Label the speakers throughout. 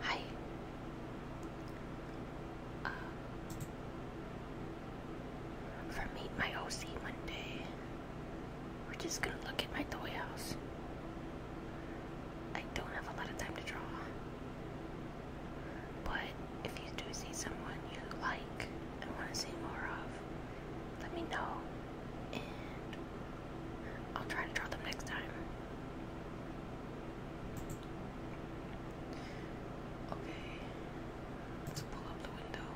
Speaker 1: Hi. Uh, for Meet My OC Monday, we're just gonna look at my toy house. I don't have a lot of time to draw. But if you do see someone you like and want to see more of, let me know and I'll try to draw them next time. Okay, let's pull up the window.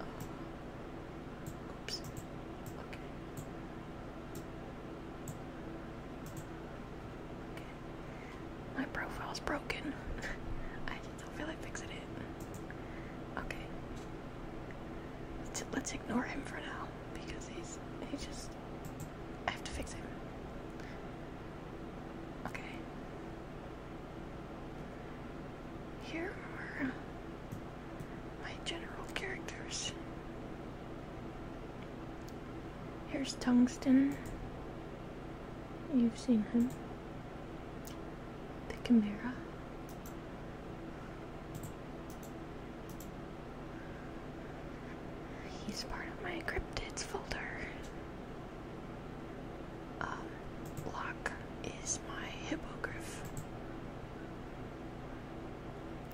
Speaker 1: Uh, oops. Okay. My profile's broken. I don't feel like fixing it. Okay. Let's, ignore him for now because he's he just I have to fix him. Okay. Here are my general characters. Here's Tungsten. You've seen him. The Chimera. He's part of my cryptids folder. Um, Block is my hippogriff.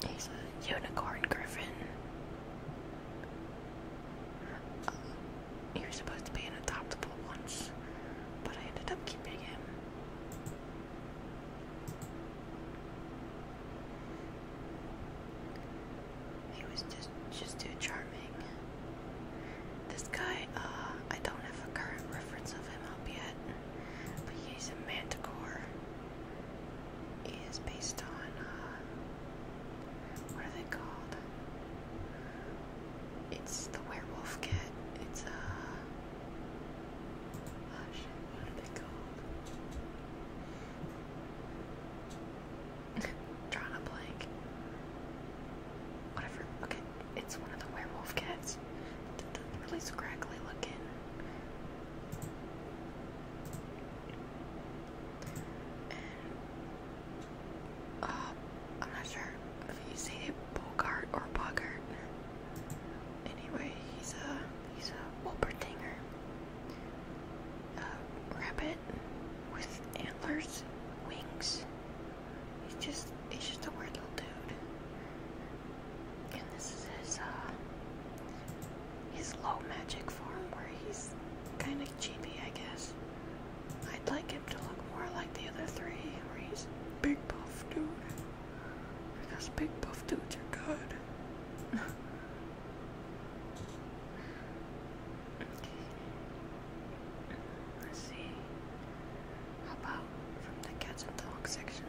Speaker 1: He's a unicorn griffin. Uh, he was supposed to be an adoptable once, but I ended up keeping him. He was just just too charming. This guy, uh, I don't have a current reference of him up yet, but he's a manticore is based on uh, what are they called? It's the werewolf kit. It's a uh, oh, shit, what are they called? Drawn a blank. Whatever. Okay, it's one of the werewolf cats. The, the really scraggly looking uh, I'm not sure if you say Bogart or Bogart. Anyway, he's a he's a Wolpertinger, a rabbit with antlers, wings. He's just he's just a weird little dude. And this is his uh, his low magic form where he's kind of cheapy, I guess. I'd like him to look more like the other three, where he's big buff dude. Because big buff dudes are good. Let's see. How about from the cats and dogs section?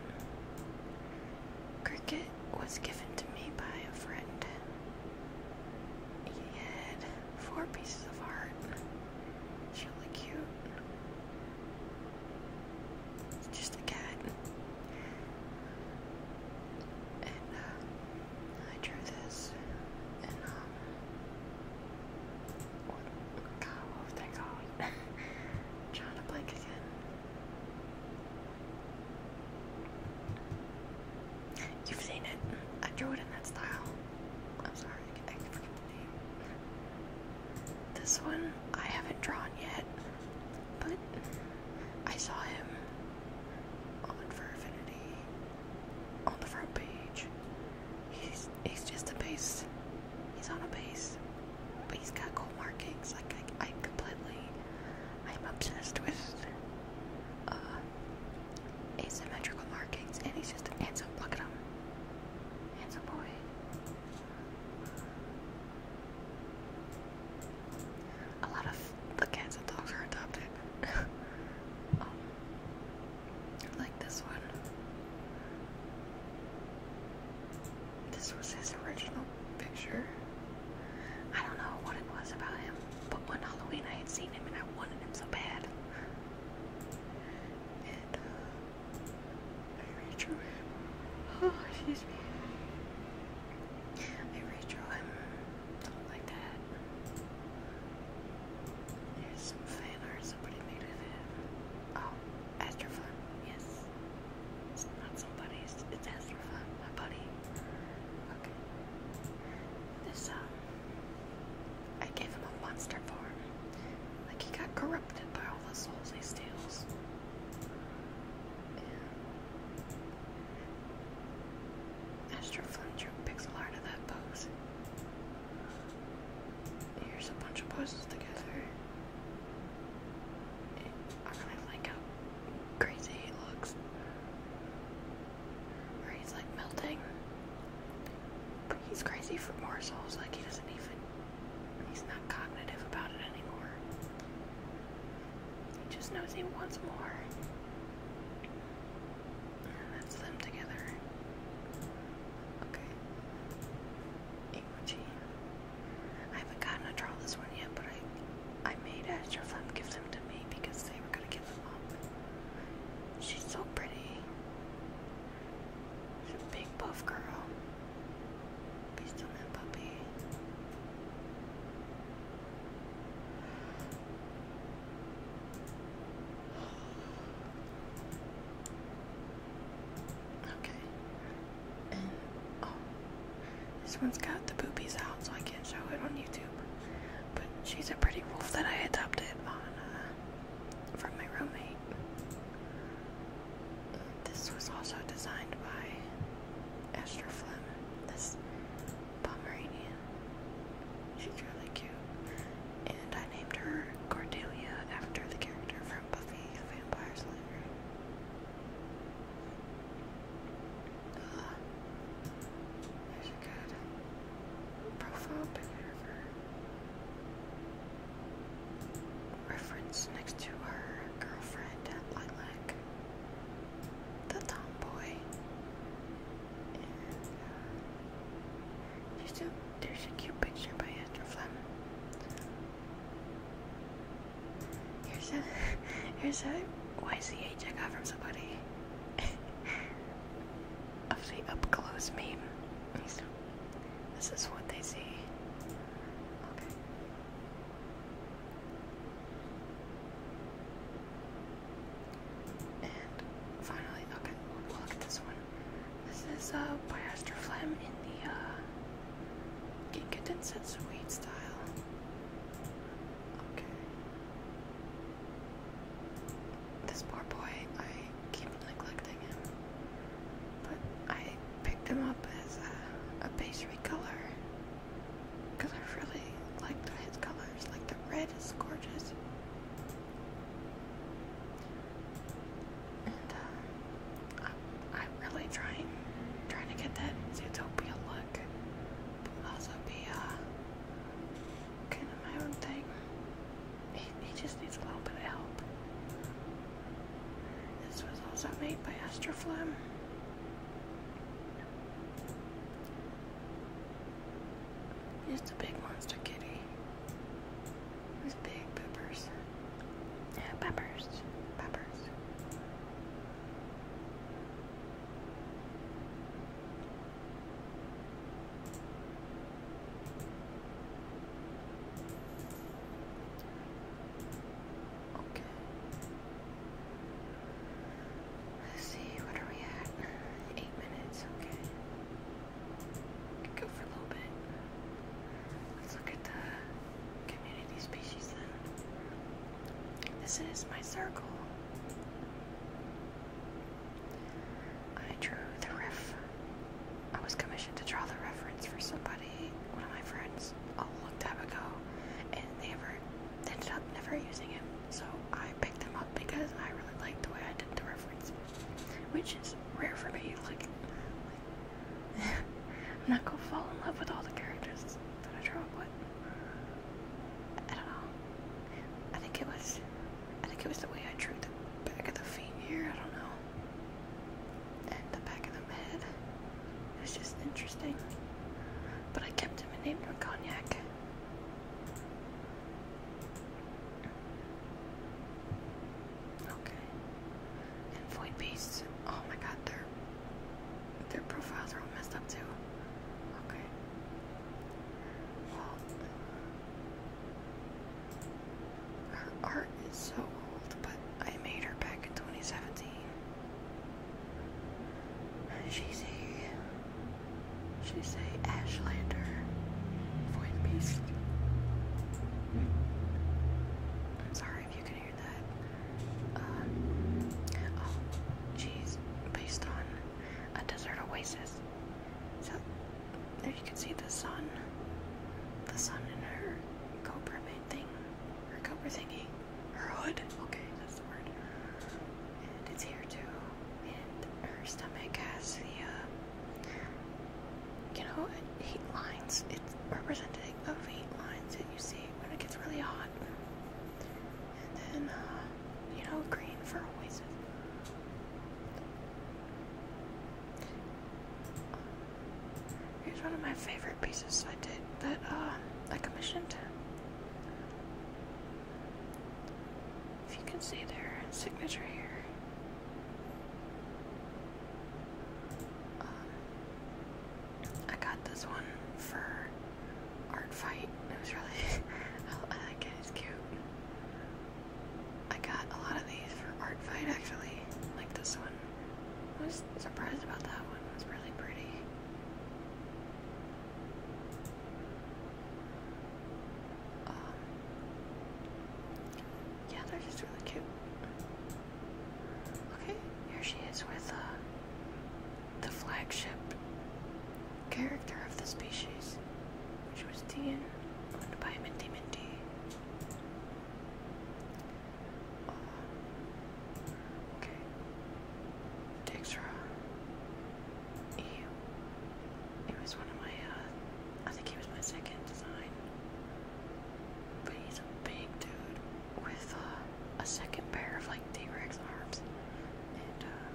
Speaker 1: Cricket was given to me by a friend. He had four pieces of art. She looked cute. It's just a cat. And uh, I drew this. And um, what, God, what was that Trying to blink again. You've seen it. I drew it in that style. I'm sorry, I forget the name. This one I haven't drawn yet, but I saw him on For on the front page. He's he's just a beast. He's on a base, but he's got cool markings. Like I, I completely, I'm obsessed with uh, asymmetrical markings, and he's just handsome. Look at him, handsome boy. A lot of the cats dogs are adopted. Um, like this one. This was his original picture. I don't know what it was about him, but one Halloween I had seen him and I wanted him so bad. Uh, I redrew him. Oh, excuse me. I redrew him like that. There's some fan somebody made of him. Oh, Astrofun, yes. It's not somebody's, it's Ezra, my buddy. Okay. This, um, I gave him a monster farm. Like, he got corrupted by all the souls he steals. Yeah. Astro pixel art of that pose. Here's a bunch of poses together. I really like how crazy he looks. Where he's like melting. But he's crazy for more morsels, like he doesn't even he's not cognitive about it anymore. He just knows he wants more. that's them together. Okay. I haven't gotten to draw this one yet, but I, I made Asher Flem give them to me because they were gonna give them up. She's so pretty. big buff girl. Beast on that puppy. Okay. And oh, this one's got the boobies out, so I can't show it on YouTube. But she's a pretty wolf that I adopted uh, from my roommate. This was also designed by Esther Fleming. This Pomeranian. She's really cute. And I I named her Cordelia after the character from Buffy the Vampire Slayer. Ah. there's a good profile picture of her. Reference next to her girlfriend, Lilac, the tomboy. And, uh, there's a cute picture by Andrew Flem. Here's a here's a YCH I got from somebody of the up close meme. This is what they see. Okay. And finally, look at this one. This is a uh, by Astroflame in the uh, Ginkgo Suite style. Okay. This poor boy, I keep neglecting him, but I picked him up as a, uh, a pastry color because I really liked his colors. Like the red is gorgeous. Uh, I'm, really trying, trying to get that Zootopia look, also be uh, kind of my own thing. He, just needs a little bit of help. This was also made by Astroflem. Just the big monster kitty. Those big peppers. Peppers. Peppers. Okay. Let's see, what are we at? Eight minutes, okay. Go for a little bit. Let's look at the community species This is my circle. I drew the riff. I was commissioned to draw the reference for somebody, one of my friends, a long time ago, and they ever ended up never using him. So I picked him up because I really liked the way I did the reference which is rare for me. Like, I'm not gonna fall in love with all the characters that I draw, but I don't know. I think it was, I think it was the way I drew the back of the feet here. I don't know, and the back of the head. It was just interesting. But I kept him and named him Cognac. Okay. And Oh my god, their their profiles are all messed up too. Okay. Well her art is so old, but I made her back in 2017. She's a She's a Ashlander void beast. Hmm. sorry if you can hear that. she's uh, oh, based on a desert oasis. So there you can see the sun, the sun in her cobra made thing, her cobra thingy, her hood. Okay, that's the word and it's here too. And her stomach has the, um, you know, heat lines. It's representative of heat lines that you see when it gets really hot. And then, uh, you know, green for oasis. Here's one of my favorite pieces I did that um, I commissioned. If you can see their signature here. Um, I got this one for Art Fight. It was really, I like it, it's cute. I got a lot of these for Art Fight actually, like this one. I was surprised about that one, it was really pretty. Um, yeah, they're just really cute. Okay, here she is with uh, the flagship character of the species, which was Dean, owned by Minty Minty. Uh, okay, takes he, it was one of my, uh, I think he was my second design. But he's a big dude with uh, a second pair of like T Rex arms. And uh,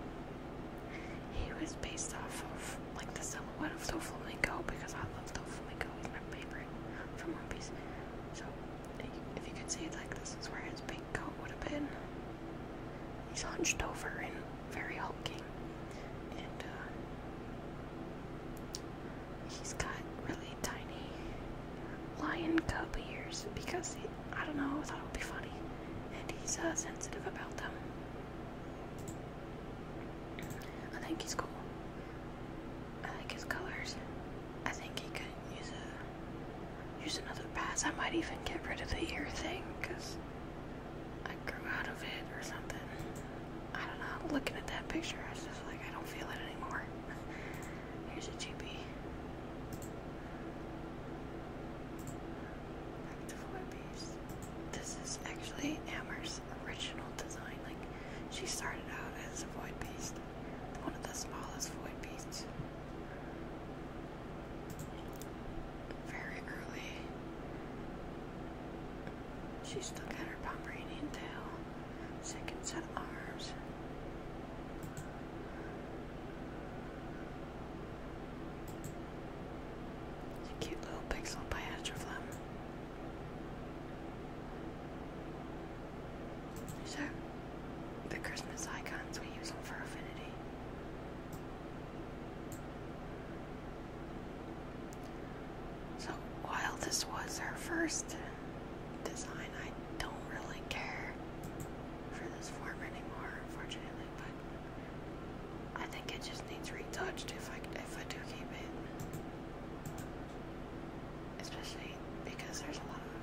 Speaker 1: he was based off of like the silhouette of Doflamingo because I love Doflamingo, he's my favorite from One Piece. So if you can see it like this is where his coat would have been. He's hunched over and very hulking. And uh, he's got really tiny lion cub ears because I don't know, I thought it would be funny. And he's uh, sensitive about them. I think he's cool. I like his colors. I think he could use a use another pass. I might even get rid of the ear thing because I grew out of it or something. I don't know. Looking at that picture, I was just like, I don't feel it anymore. Here's a GB. Back to This is actually Amherst's original design. Like, she started out as a void beast, one of the smallest void beasts very early. She's still got her Pomeranian tail, second set of arms. It's a cute little pixel by Astroflem the Christmas icons, we use them for affinity. So while this was her first design, I don't really care for this form anymore, unfortunately, but I think it just needs retouched if I if I do keep it. Especially because there's a lot of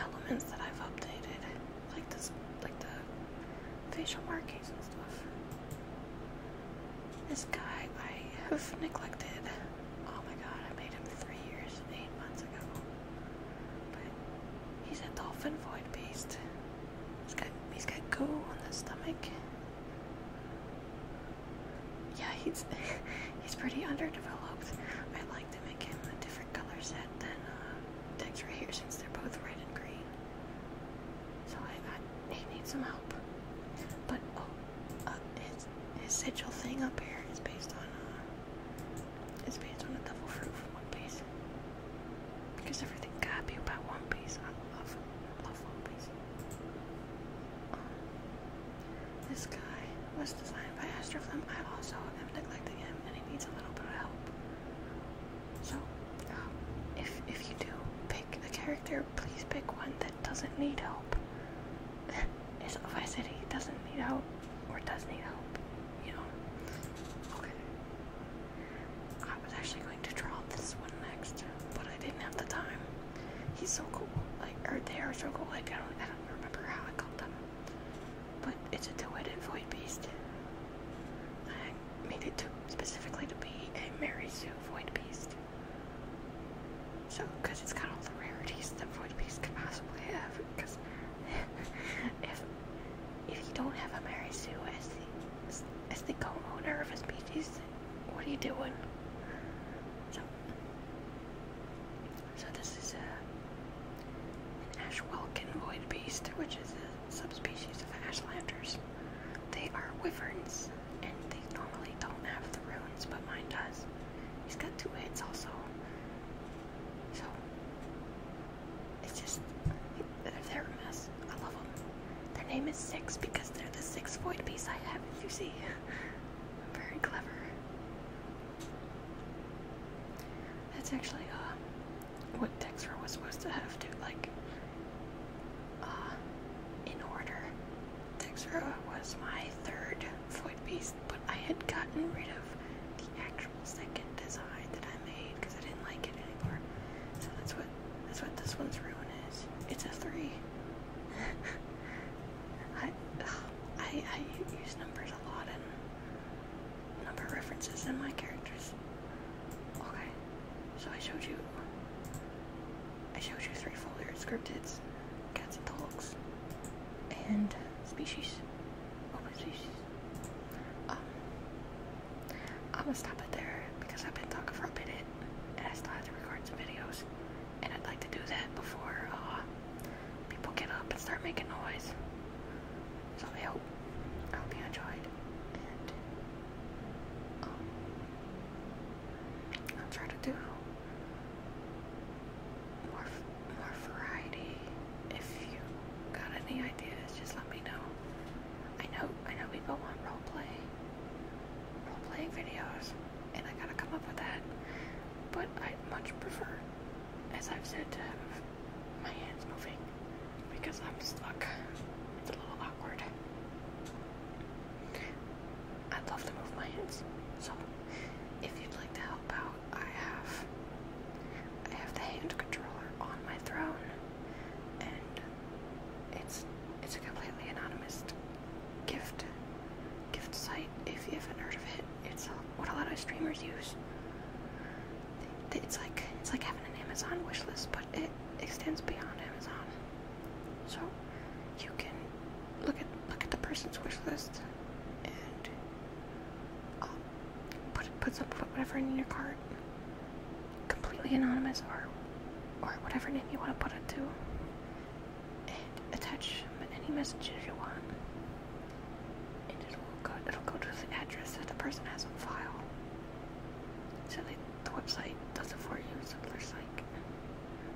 Speaker 1: elements that I've updated, like this, like the facial markings and stuff. This guy I have neglected. Oh my god, I made him three years, eight months ago. But he's a dolphin void beast. He's got he's got goo on the stomach. Yeah, he's he's pretty underdeveloped. I like them again with a different color set than uh, Dex right here since they're both red and green. So I, I he needs some help. But oh, uh, his his sigil thing up here is based on uh, it's based on a double fruit from One Piece because everything gotta be about One Piece. I love love One Piece. Um, this guy was designed by Astroflim. I also am neglecting him and he needs a little bit of help. So, um, if, if you do pick a character, please pick one that doesn't need help. so if I said he doesn't need help or does need help, you know. Okay. I was actually going to draw this one next, but I didn't have the time. He's so cool. Like, or they are so cool. Like, I don't, I don't remember how I called them. But it's a two-headed void beast. I made it to specifically to be a Mary Sue void beast. So, because it's got all the rarities that void beasts can possibly have. Because if if you don't have a Mary Sue as the as the co-owner of a species, what are you doing? So, so this is a, an Ashwalkan void beast, which is a subspecies of ashlanders. They are wyverns, and they normally don't have the runes, but mine does. He's got two heads also. So, it's just, they're a mess. I love them. Their name is Six because they're the six void piece I have, you see. I'm very clever. That's actually uh, what Dexra was supposed to have to like. Uh, in order, Dexter was my third foot piece, but I had gotten rid of the actual second design that I made because I didn't like it anymore. So that's what that's what this one's ruin is. It's a three. I, I, I use numbers a lot and number references in my characters. Okay, so I showed you, I showed you three folders: scriptids, cats and dogs, and species, open species. Um, I'm gonna stop it there because I've been talking for a minute and I still have to record some videos and I'd like to do that before uh, people get up and start making noise. So I hope, I hope you enjoyed, and um, I'll try to do more, more variety. If you got any ideas, just let me know. I know, I know people want role play, role playing videos and I gotta come up with that. But i much prefer, as I've said, to have my hands moving because I'm stuck. It's a little awkward. I'd love to move my hands. So if you'd like to help out, I have I have the hand controller on my throne and it's it's a completely anonymous gift gift site if you haven't heard of it. It's uh, what a lot of streamers use. It's like it's like having an Amazon wish list, but it extends beyond Amazon. So you can look at look at the person's wish list and um, put put some whatever whatever in your cart, completely anonymous or or whatever name you want to put it to attach any messages you want. And it will go, to the address that the person has on file. So the website does it for you. So there's like,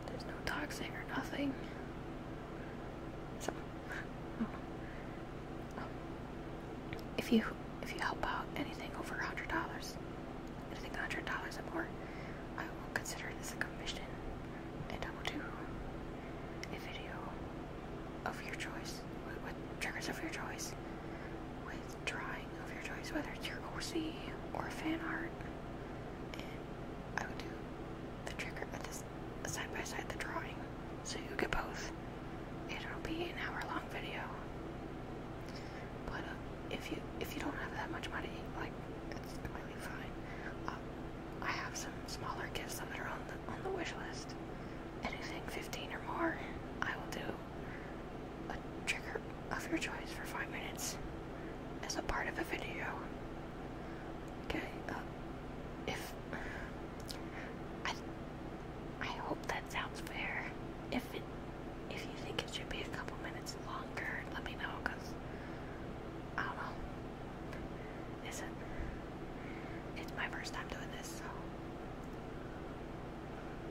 Speaker 1: there's no doxing or nothing. So, if you if you help out anything over a hundred dollars, losing $100 or more, I will consider this a commission and I will do a video of your choice, with, triggers of your choice, with drawing of your choice, whether it's your OC or fan art. I would do the trigger at uh, this side by side the drawing, so you get both. It'll be an hour long video, but uh, if you if you don't have that much money, like it's completely fine. Um, I have some smaller gifts that are on the on the wish list. Anything 15 or more, I will do a trigger of your choice for five minutes as a part of a video. Okay. Uh, if I, I hope that sounds fair. If if you think it should be a couple minutes longer, let me know because I don't know. Is It's my first time doing this, so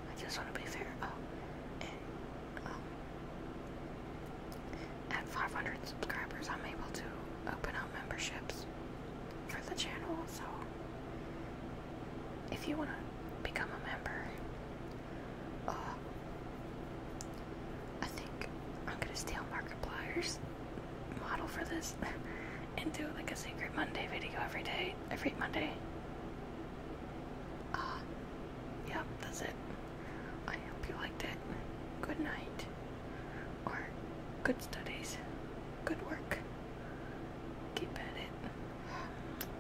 Speaker 1: I just want to be fair. Oh, um, at 500 subscribers, I'm able to open up memberships for the channel. So if you want to become a member, uh, I think I'm gonna steal Markiplier's model for this and do like a Secret Monday video every day, every Monday. Uh, yeah, that's it. I hope you liked it. Good night. Or good studies. Good work. Keep at it.